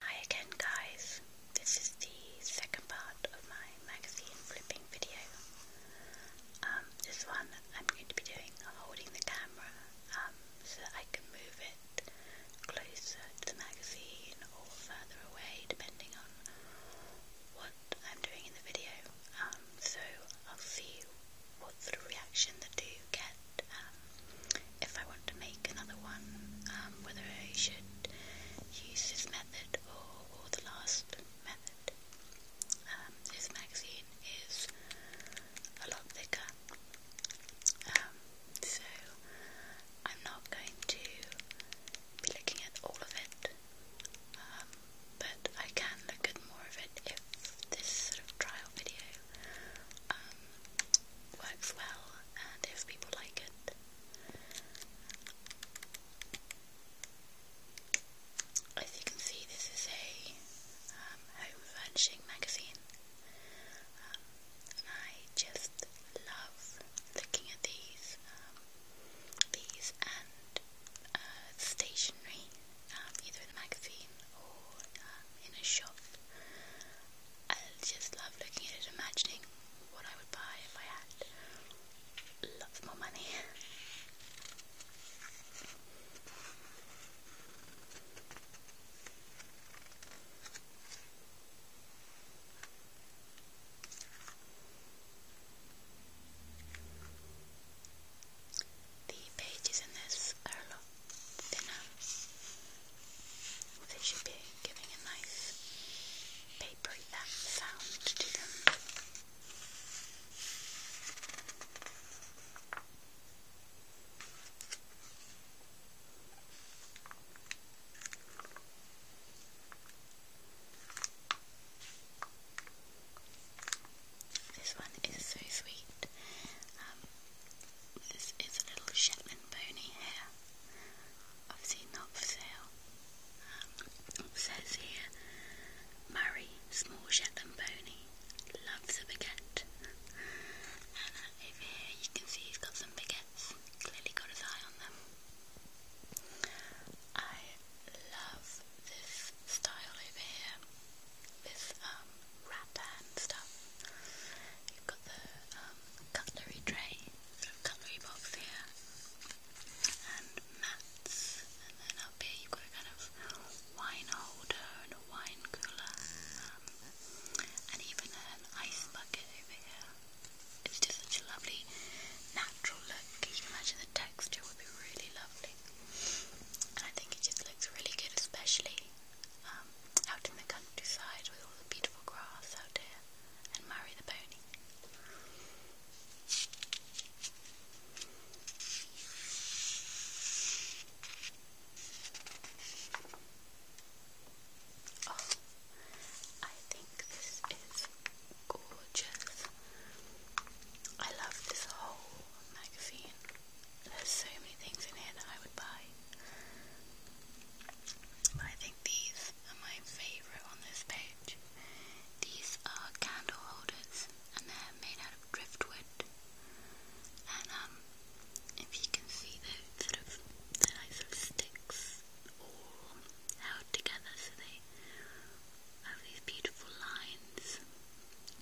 Hi again guys, this is the second part of my magazine flipping video. Um, this one I'm going to be doing holding the camera um, so that I can move it closer to the magazine or further away depending on what I'm doing in the video. Um, so I'll see what sort of reaction the two get um, if I want to make another one, um, whether I should use this method or, or the last method. Um, this magazine is a lot thicker, so I'm not going to be looking at all of it, but I can look at more of it if this sort of trial video works well and if people like it. As you can see, this is a um, home furnishing magazine, and um, I just love looking at these, um, these and uh, stationery, either in a magazine or in a shop. I just love looking at it, imagining what I would buy if I had lots more money. The pages in this are they should be giving a nice papery sound to them. This one is so sweet. Um, this is a little Shetland pony here. Obviously not for sale. Um, says here, Murray, small Shetland pony, loves a baguette. And uh, over here you can see he's got some baguettes. Clearly got his eye on them. I love this style over here. This um wrapper and stuff. You've got the um, cutlery tray, cutlery box here, and mats, and then up here you've got a kind of wine holder and a wine cooler, um, and even an ice bucket over here. It's just such a lovely natural look. You imagine the texture would be really lovely. And I think it just looks really good, especially um, out in the countryside with all the beautiful grass out there, and marry the pony. Oh, I think this is gorgeous. I love this whole magazine. There's so many things in here that I would buy. I think these are my favourite on this page. These are candle holders and they're made out of driftwood. And um if you can see they're sort of they're like sort of sticks all held together so they have these beautiful lines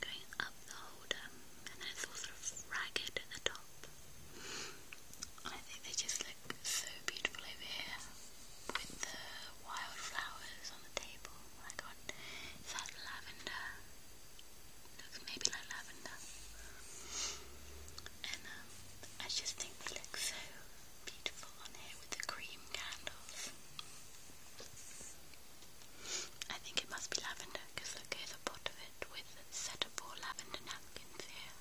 going up the older, um, and then it's all sort of ragged at the top. I think they just look so beautiful over here with the wildflowers on the table. I got is that lavender? Looks maybe like lavender. And um, I just think they look so beautiful on here with the cream candles. I think it must be lavender is look at the bottom of it with a set of four lavender napkins here.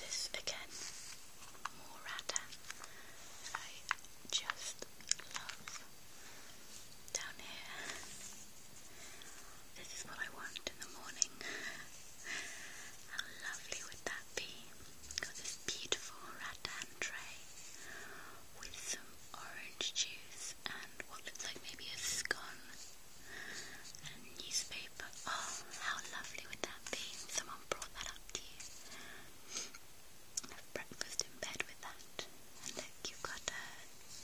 This again, more rata I just love down here. This is what I want in the morning. How lovely would that be? Got this beautiful rattan tray with some orange juice and what looks like maybe a scone and newspaper. Oh, how lovely would that be? Someone brought that up to you. Have breakfast in bed with that. look, you got a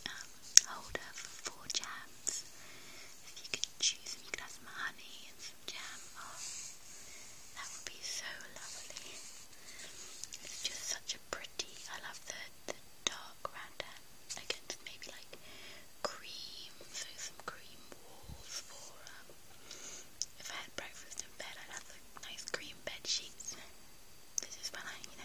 um, holder for four jams. If you could choose you could have some honey and some jam. Oh, that would be so lovely. It's just such a pretty. I love the the dark round end against maybe like cream. So some cream walls for um, if I had breakfast in bed, I'd have nice cream bed sheets. This is when I, you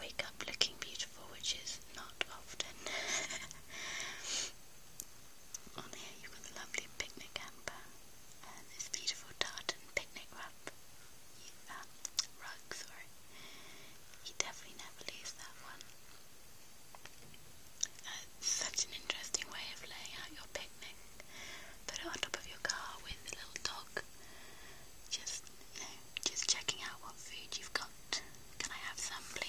wake up looking beautiful, which is not often. On here you've got the lovely picnic hamper and this beautiful tartan picnic wrap. Um, rug, sorry. He definitely never leaves that one. Uh, such an interesting way of laying out your picnic. Put it on top of your car with a little dog. Just, just checking out what food you've got. Can I have some, please?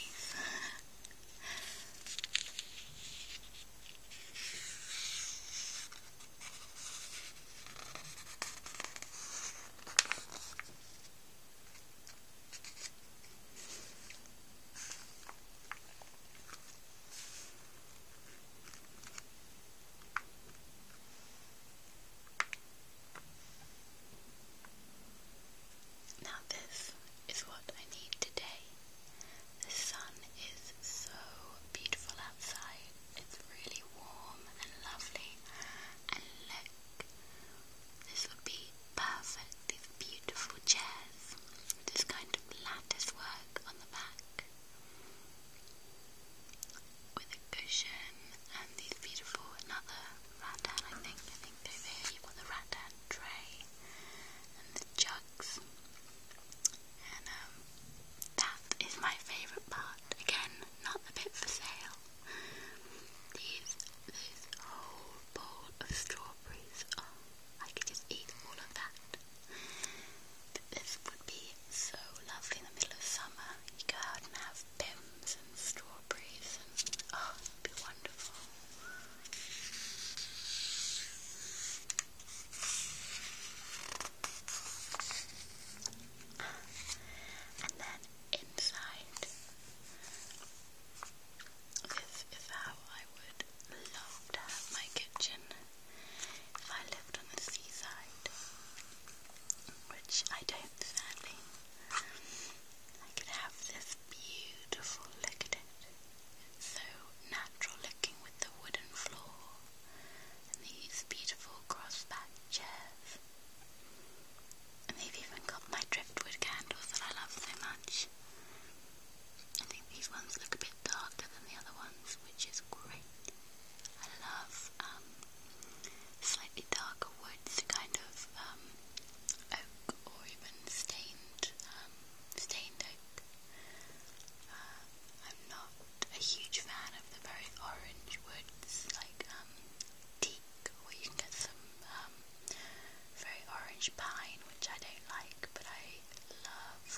Now, this is what I need today. The sun is so beautiful outside, it's really warm and lovely. And look, this would be perfect. These beautiful chairs, this kind of lattice work on the back with a cushion and these beautiful another rattan I think I think over here you've got the rattan tray and the jugs and um, that is my favourite part. Again, not the bit for sale. These this whole bowl of strawberries. Oh, I could just eat all of that. This would be so lovely in the middle of summer. You go out and have bim and strawberries and oh, it'd be wonderful. And then inside, this is how I would love to have my kitchen if I lived on the seaside which I don't, sadly. I could have this beautiful, look at it, so natural looking with the wooden floor and these beautiful crossback chairs. And they've even got my driftwood candles that I love so much. I think these ones look a bit darker than the other ones, which is great. I love um, slightly darker woods, kind of um, oak or even stained, um, stained oak. Uh, I'm not a huge fan of the very orange woods, like um, teak, where you can get some um, very orange pine, which I don't like, but I love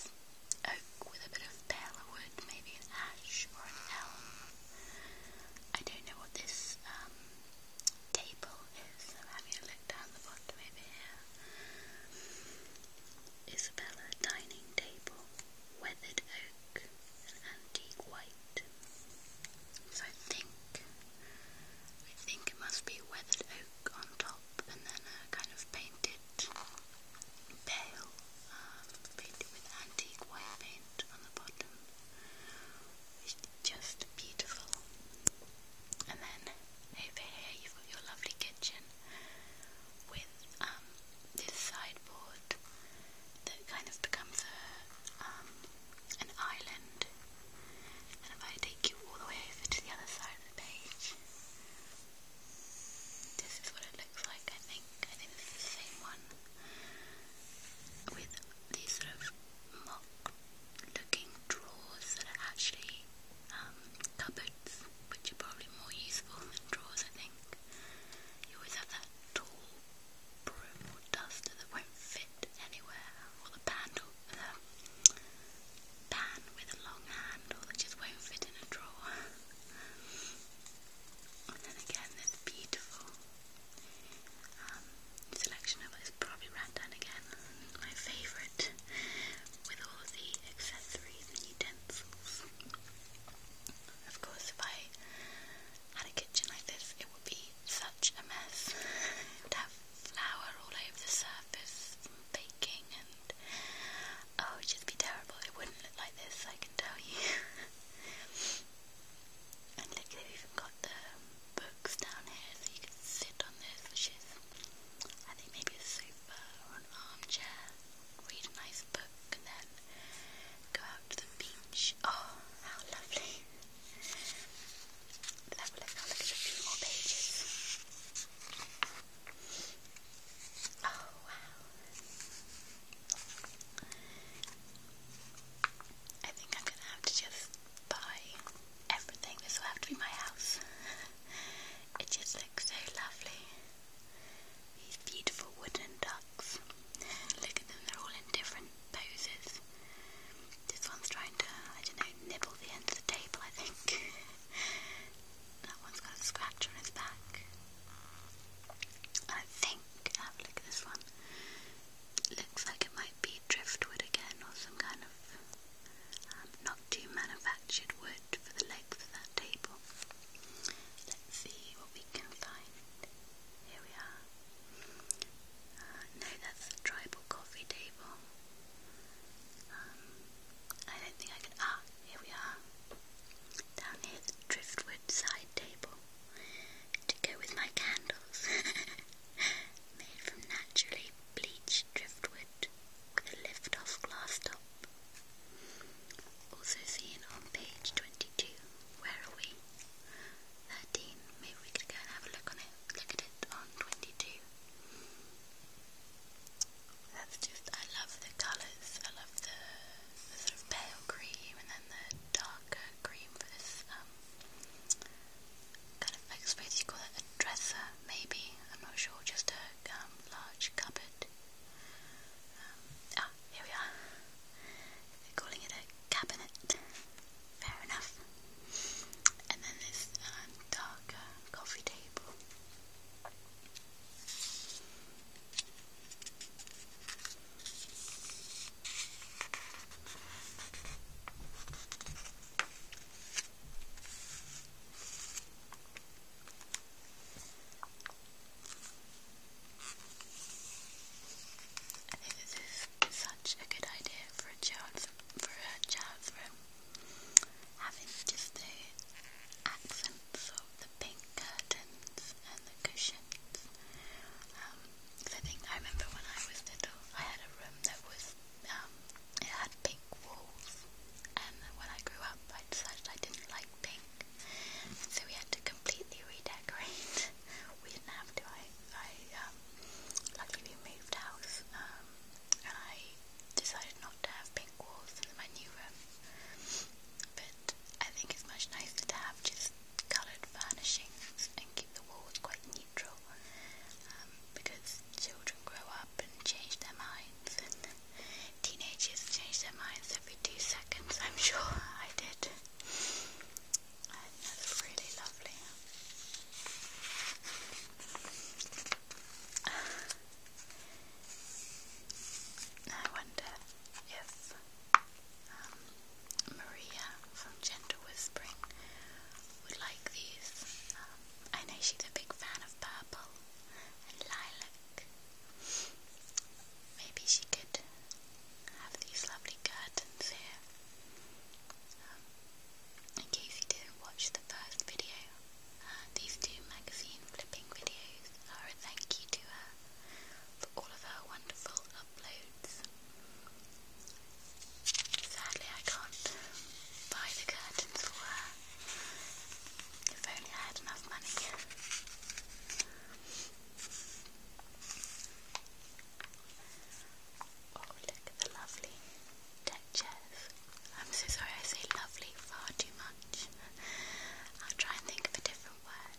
oak with a bit of paler wood, maybe an ash or an elm. I don't know what this um, table is. I'm having a look down the bottom over here. Isabella dining table, weathered oak, and antique white. So I think, I think it must be weathered oak on top, and then a kind of painted pale, um, painted with antique white paint on the bottom. It's just beautiful. And then over here you've got your lovely kitchen with um, this sideboard that kind of becomes um, an island. And if I take you all the way over to the other side of the page, this is what it looks like, I think. I think it's the same one. With these sort of mock looking drawers that are actually um, cupboards, which are probably more useful than drawers, I think. You always have that tall broom or duster that won't fit anywhere, or the handle, the pan with a long handle that just won't fit in a drawer. And then again, this beautiful um, selection of it is probably Randan again, my favourite, with all the accessories and utensils. Of course, if I had a kitchen like this, it would be such a mess. have flour all over the surface from baking, and oh, it'd just be terrible. It wouldn't look like this, I can tell you. And look, they've even got the books down here so you can sit on this, which is, I think, maybe a sofa or an armchair. Read a nice book and then go out to the beach. Oh, how lovely! Let's have a look at a few more pages. Oh, wow. I think I'm gonna have to just buy everything. This will have to be my house. it just looks so lovely. These beautiful wooden ducks. Look at them, they're all in different poses. This one's trying to, I don't know, nibble the end of the table, I think. that one's got a scratch on its back. I think, look at this one. Looks like it might be driftwood again or some kind of um, not too manufactured wood for the legs of that table. Let's see what we can find. Here we are. Uh, no, that's the tribal coffee table. Um, I don't think I can. Ah, here we are. Down here, the driftwood side table to go with my candles, made from naturally bleached driftwood with a lift-off glass top. Also seen on page 22. Where are we? 13. Maybe we could go have a look on it. Look at it on 22. I love the colours. I love the the sort of pale cream and then the darker cream for this um, kind of, I you call it a dresser, maybe, I'm not sure, just a um, large cupboard. Um, ah, here we are. They're calling it a cabinet. Fair enough. And then this darker coffee table. I think this is such a good idea for a child's for a child's room. Having just the accents of the pink curtain blankets and the cushions. Um, cause I think I remember when I was little, I had a room that was um, it had pink walls, and when I grew up, I decided I didn't like pink, so we had to completely redecorate. we didn't have to. I, I um, luckily we moved house, um, and I decided not to have pink walls in my new room. But I think it's much nicer to have just coloured furnishings and keep the walls quite neutral um, because children grow up and change their minds and teenagers change their minds every two seconds, I'm sure I did. And really lovely. I wonder if um, Maria from Gentle Whispering would like these. Um, I know she's a big fan of purple and lilac. Maybe she could have these lovely curtains here. Um, in case you didn't watch the first video, uh, these two magazine flipping videos are a thank you to her for all of her wonderful uploads. Sadly, I can't buy the curtains for her. If only I had enough money. Oh, look at the lovely deck chairs. I'm so sorry I say lovely far too much. I'll try and think of a different what.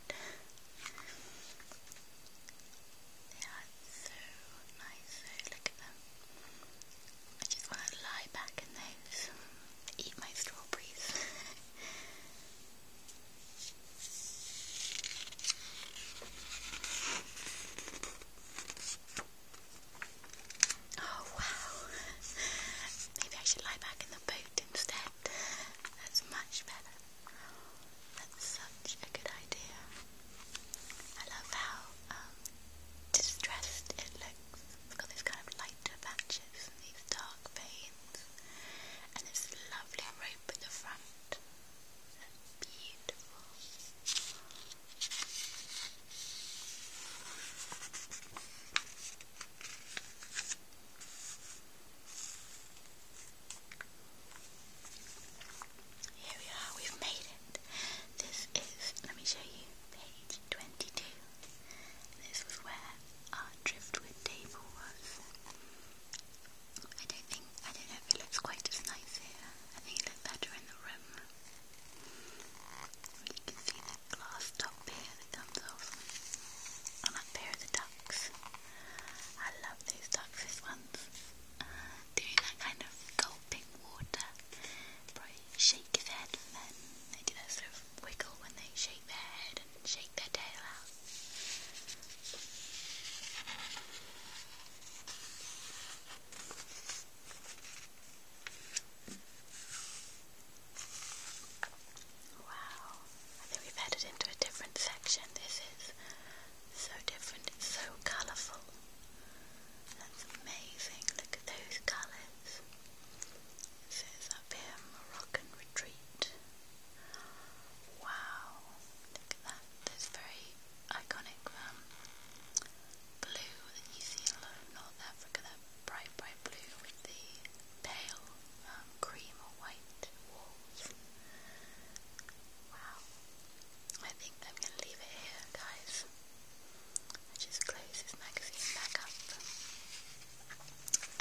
They are so nice, so look at them. I just want to lie back in those, eat my strawberries. oh wow! Maybe I should lie back in the boat instead. That's much better. That's such a good idea. I love how um, distressed it looks. It's got these kind of lighter patches and these dark veins, and this lovely rope at the front. That's beautiful. Here we are, we've made it. This is, let me show you, page 22. This was where our driftwood table was. I don't think, I don't know if it looks quite as nice here. I think it looks better in the room. You can see that top pad that comes off. And a pair of ducks. I love these ducks ones. Uh, doing that kind of gulping water. Probably shake his head and then they do that sort of wiggle when they shake their head and shake their tail out. Wow, I think we've headed into a different section. This is so different, so colourful. That's amazing, look at those colours. It says up here Moroccan Retreat. Wow, look at that. That's very iconic um, blue that you see in North Africa, bright, bright blue with the pale um, cream or white walls. Wow. I think I'm going to leave it here, guys. just close this magazine back up.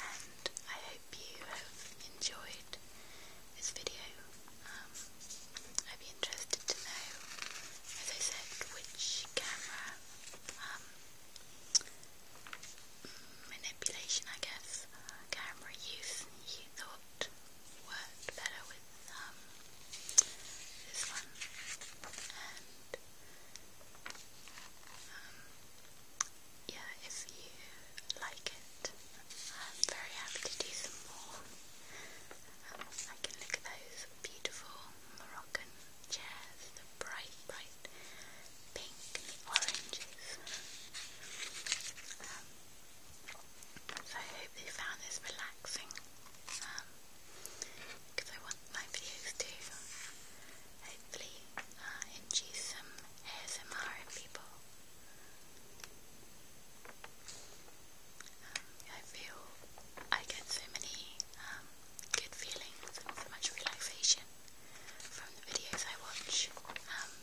And I hope you have enjoyed this video. Um, I'd be interested to know, as I said, which camera um, manipulation, I guess, camera use. You thought worked better with um, this one, and um, yeah, if you like it, I'm very happy to do some more. Um, I can look at those beautiful Moroccan chairs, the bright, bright pinky oranges. Um, so I hope you found this relaxing because um, I want my videos to hopefully uh, induce some ASMR in people. Um, I feel I get so many um, good feelings much relaxation from the videos I watch um,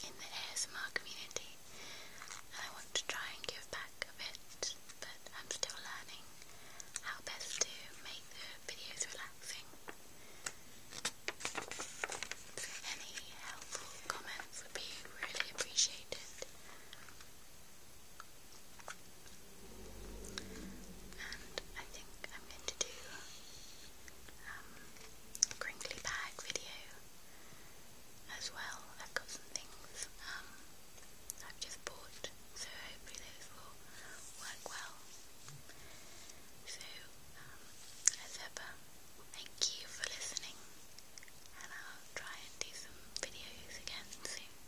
in the ASMR community. And I want to try and give back a bit, but I'm still learning how best to make the videos relaxing. any helpful comments would be really appreciated. And I think I'm going to do um, a crinkly bag video as well. I've got some things um, I've just bought, so hopefully those will work well. So, um, as ever, thank you for listening, and I'll try and do some videos again soon.